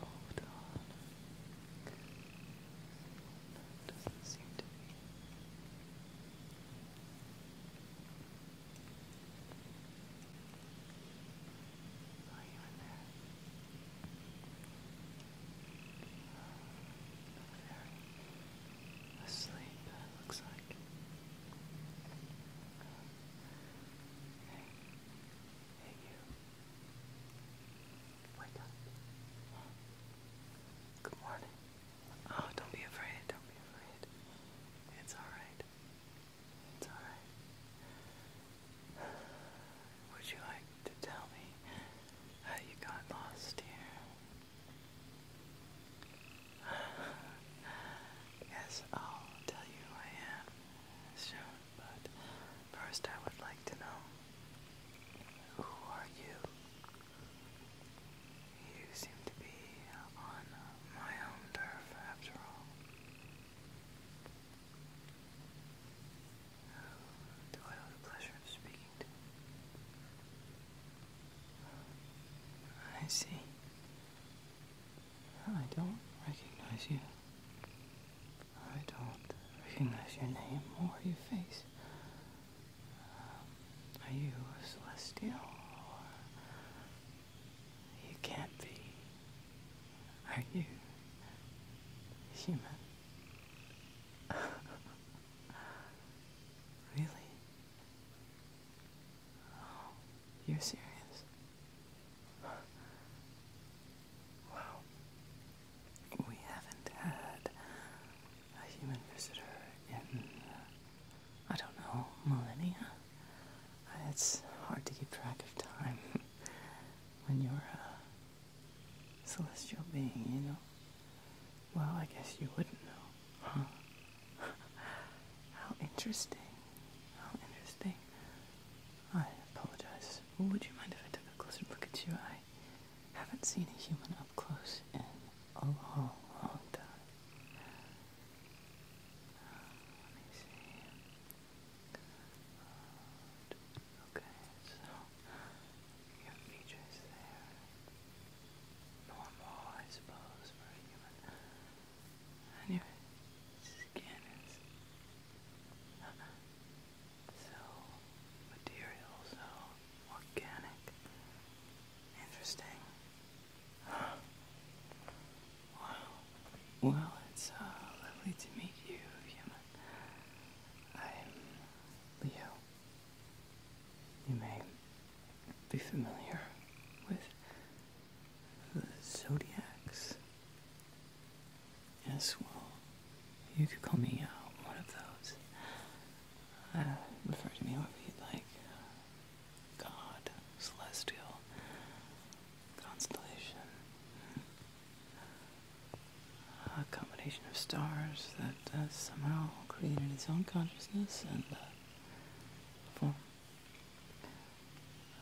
Hold doesn't seem to Are you in there? asleep, it looks like. Hey, you. Wake up. Good morning. Oh, don't be afraid. Don't be afraid. It's alright. It's alright. Would you like to tell me how you got lost here? yes, I'll tell you who I am. Sure, but first I would like to know who are you? You seem to be on my own turf after all. do I have the pleasure of speaking to? I see. I don't recognize you. I don't recognize your name or your face. Um, are you a celestial? Or you can't be. Are you human? really? Oh, you're serious. Wow. We haven't had a human visitor in, uh, I don't know, millennia. Uh, it's hard to keep track of time when you're a uh, celestial being, you know? Well, I guess you wouldn't know, huh? How interesting. How interesting. I apologize. Well, would you mind if I took a closer look at you? I haven't seen a human up close in a long, long time. Uh, let me see. Okay, your features there. Normal, I suppose, for so material, so organic. Interesting. Wow. Well, it's lovely to meet you, human. i Leo. You may be familiar with zodiacs. Yes, well, you could call me uh, one of those. Uh, refer to me however you'd like. God, celestial, constellation. A combination of stars that uh, somehow created its own consciousness and uh,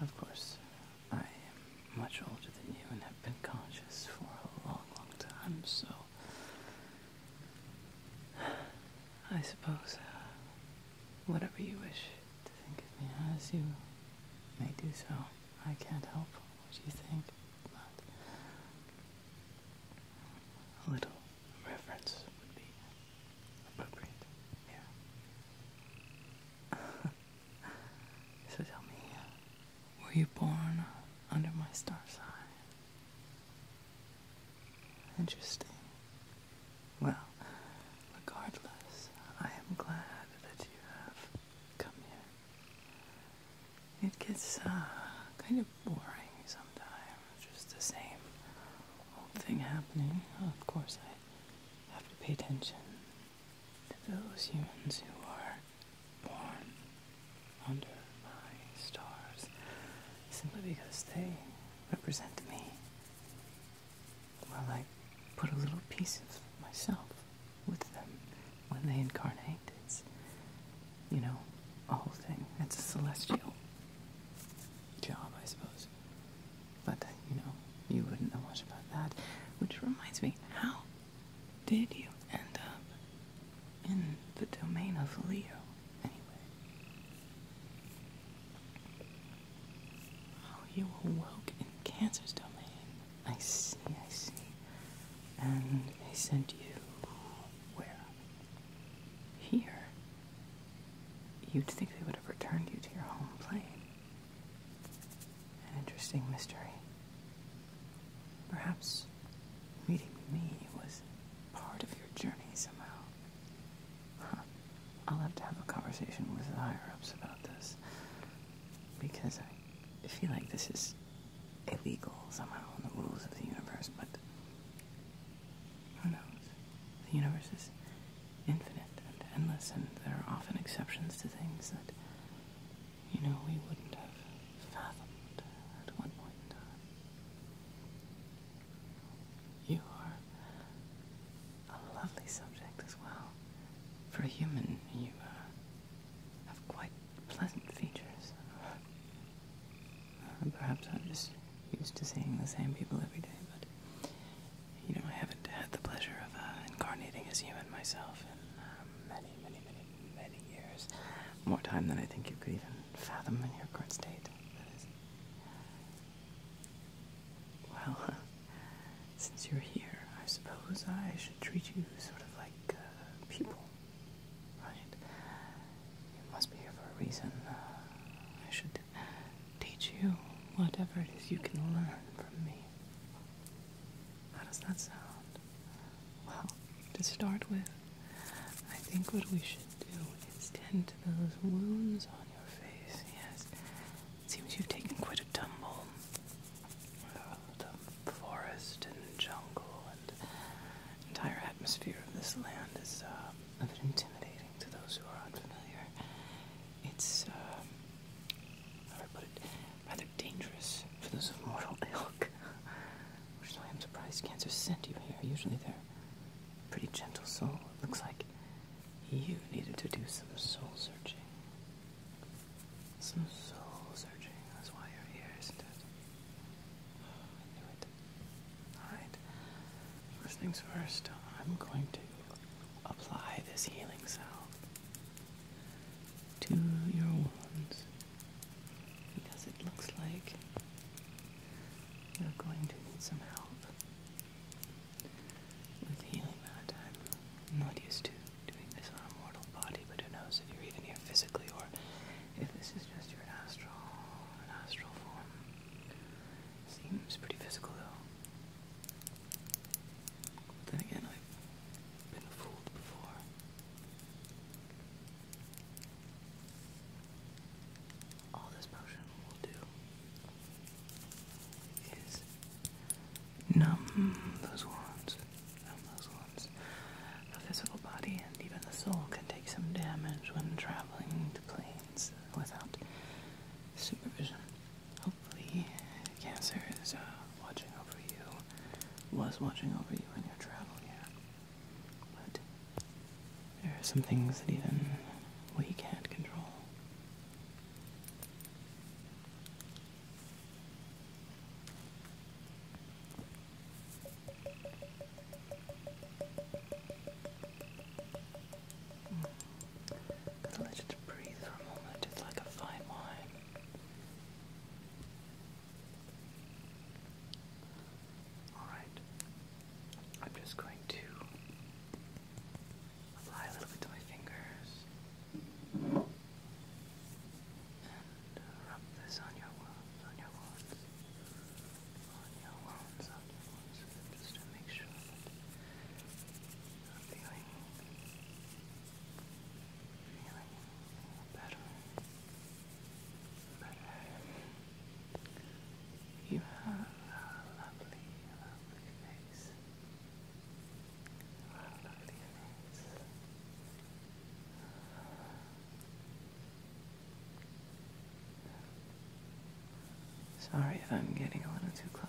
of course, I am much older than you and have been conscious for a long, long time, so I suppose uh, whatever you wish to think of me as, you may do so. I can't help what you think, but a little reference would be so tell me, were you born under my star sign? Interesting. Well, regardless, I am glad that you have come here. It gets uh, kind of boring sometimes, just the same old thing happening. Of course, I have to pay attention to those humans who are born under my stars simply because they represent me. Well, I put a little piece of myself with them when they incarnate. It's, you know, a whole thing. It's a celestial job, I suppose. But, you know, you wouldn't know much about that. Which reminds me, how did you end up in the domain of Leo, anyway? Oh, you awoke in Cancer's domain. I see, I see. And they sent you where? Here? You'd think they would have returned you to your home plane. An interesting mystery. Perhaps meeting me was part of your journey somehow. I'll have to have a conversation with the higher ups about this. Because I feel like this is illegal somehow in the rules of the universe, but who knows? The universe is infinite and endless, and there are often exceptions to things that, you know, we wouldn't have fathomed at one point in time. You are a lovely subject as well. For a human, you uh, have quite pleasant features. Uh, perhaps I'm just used to seeing the same people every day, but you know, I haven't had the pleasure of uh, incarnating as human myself in um, many, many, many, many years. More time than I think you could even fathom in your current state. That is. Well, uh, since you're here, I suppose I should treat you sort of like uh, people, right? You must be here for a reason. Uh, I should teach you whatever it is you can learn from me. How does that sound? Well, to start with, I think what we should do is tend to those wounds on your face. Yes, it seems you've taken quite a tumble. the forest and jungle and entire atmosphere of this land is uh, a bit intimidating to those who are unfamiliar it's uh, Rather dangerous for those of mortal ilk, which is why I'm surprised Cancer sent you here. Usually they're pretty gentle souls. It looks like you needed to do some soul searching. Some soul searching. That's why you're here, isn't it? it. Alright. First things first, I'm going to apply this healing salve to your wounds because it looks like you're going to need some help with healing that time. I'm not used to doing this on a mortal body, but who knows if you're even here physically or if this is just your astral, astral form. Seems pretty physical though then again, I've been fooled before. All this potion will do is numb those wounds, those wounds. The physical body and even the soul can take some damage when traveling to planes without supervision. Hopefully, Cancer is uh, watching over you, was watching over you in your travel here. But there are some things that even we can't control going breathe for a moment, it's like a fine wine. Alright, I'm just going to apply a little bit to my fingers and uh, rub this on your wounds, on your wounds, on your wounds, just to make sure feeling, feeling better, better. You have a lovely, lovely face. A lovely face. Sorry if I'm getting a little too close.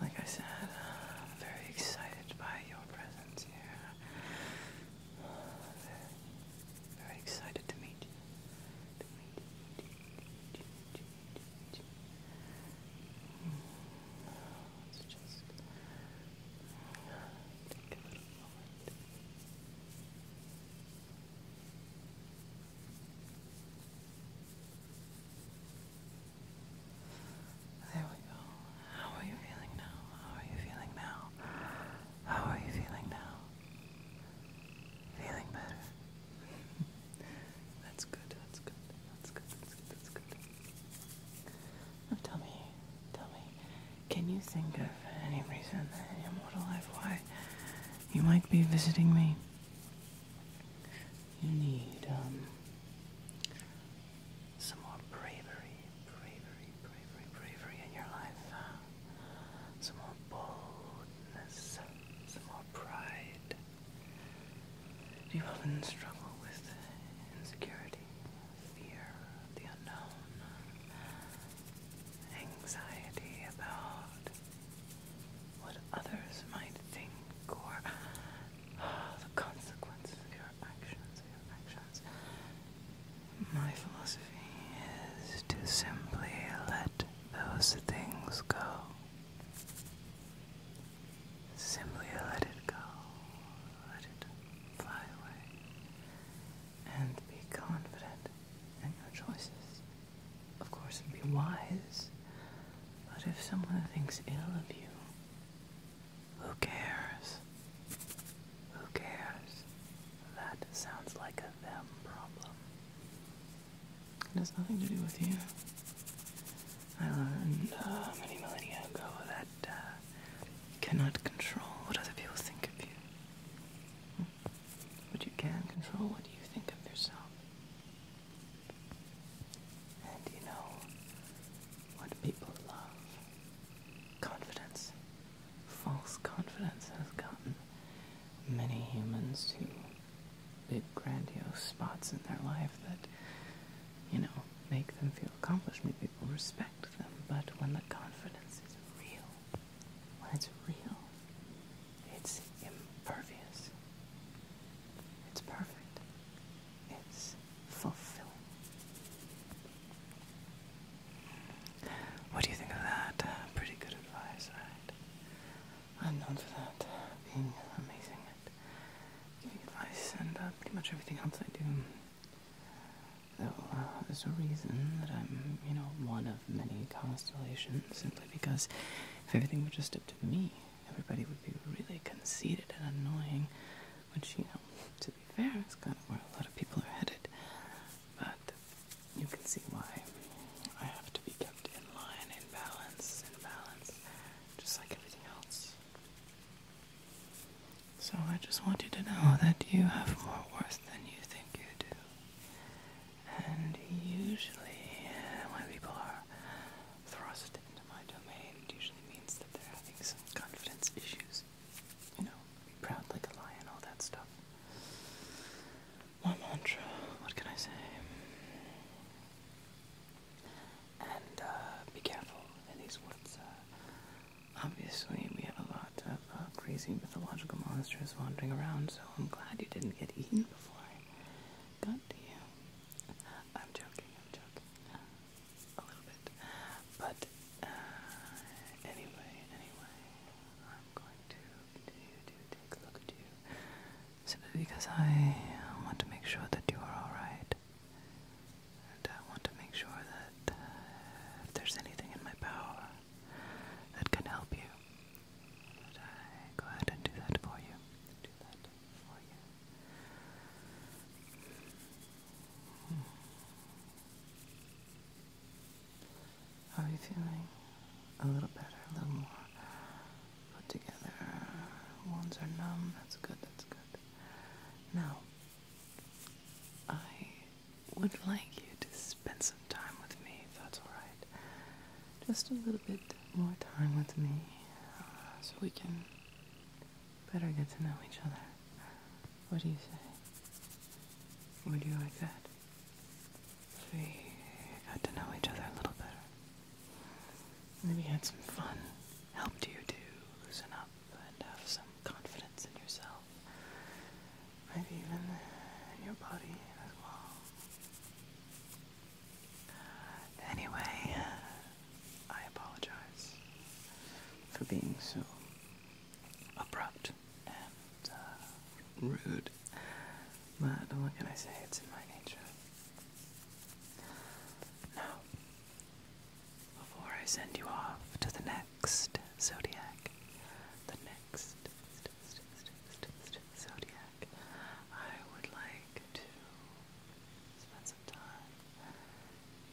Like I said, am uh, very excited by your presence here. Very, excited to meet you. Let's just take a moment. There we go. How are you feeling now? How are you feeling now? How are you feeling now? Feeling better. that's good, that's good, that's good, that's good, that's good. Now tell me, tell me, can you think of any reason in your mortal life why you might be visiting me? You need um, some more bravery, bravery, bravery, bravery in your life. Some more boldness, some more pride. Do you often struggle with insecurity, fear of the unknown, anxiety about what others might think or oh, the consequences of your actions. My philosophy is to simply let those things go. Simply let it go. Let it fly away. And be confident in your choices of course, it'd be wise. But if someone thinks ill of you, who cares? Who cares? That sounds like a them problem. It has nothing to do with you. I learned uh, many millennia ago that uh, you cannot control what other people think of you. But you can control what you think of yourself. And you know what people love. Confidence. False confidence has gotten many humans to big grandiose spots in their life that, you know, make them feel accomplished, make people respect them. But when the confidence is real, when it's real, it's impervious. It's perfect. It's fulfilling. What do you think of that? Uh, pretty good advice, right? I'm known for that, uh, being amazing and giving advice and uh, pretty much everything else I do. Though there's a reason that I'm, you know, one of many constellations simply because if everything were just up to me, everybody would be really conceited and annoying, which, you know, to be fair, is kind of where a lot of people are headed. But you can see why I have to be kept in line, in balance, in balance, just like everything else. So I just want you to know that you have more worth than you think you do. And usually, uh, when people are thrust into my domain, it usually means that they're having some confidence issues. You know, be proud like a lion, all that stuff. My mantra, what can I say? And uh, be careful in these woods. Uh, obviously, we have a lot of uh, crazy mythological monsters wandering around, so I'm glad you didn't get eaten before I got to I'm joking, I'm joking. A little bit. But uh, anyway, anyway, I'm going to continue to take a look at you. Simply because I want to make sure that you are alright. And I want to make sure that uh, if there's anything in my power that can help you, should I go ahead and do that for you? Do that for you. How are you feeling? A little better, a little more put together. Wounds are numb. That's good, that's good. Now, I would like you to spend some time with me, if that's alright. Just a little bit more time with me uh, so we can better get to know each other. What do you say? Would you like that? If we got to know each other a little better. Maybe had some fun, helped you to loosen up and have some confidence in yourself. Maybe even your body as well. Anyway, I apologize for being so abrupt and uh, rude, but what can I say? It's in my nature. Now, before I send you off to the next zodiac, the next zodiac. I would like to spend some time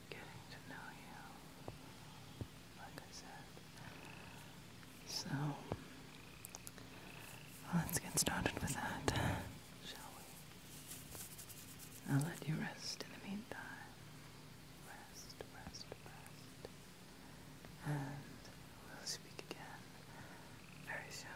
getting to know you, like I said. So, let's get started with that, shall we? I'll let you rest in the meantime. Rest, rest, rest and we'll speak again very soon.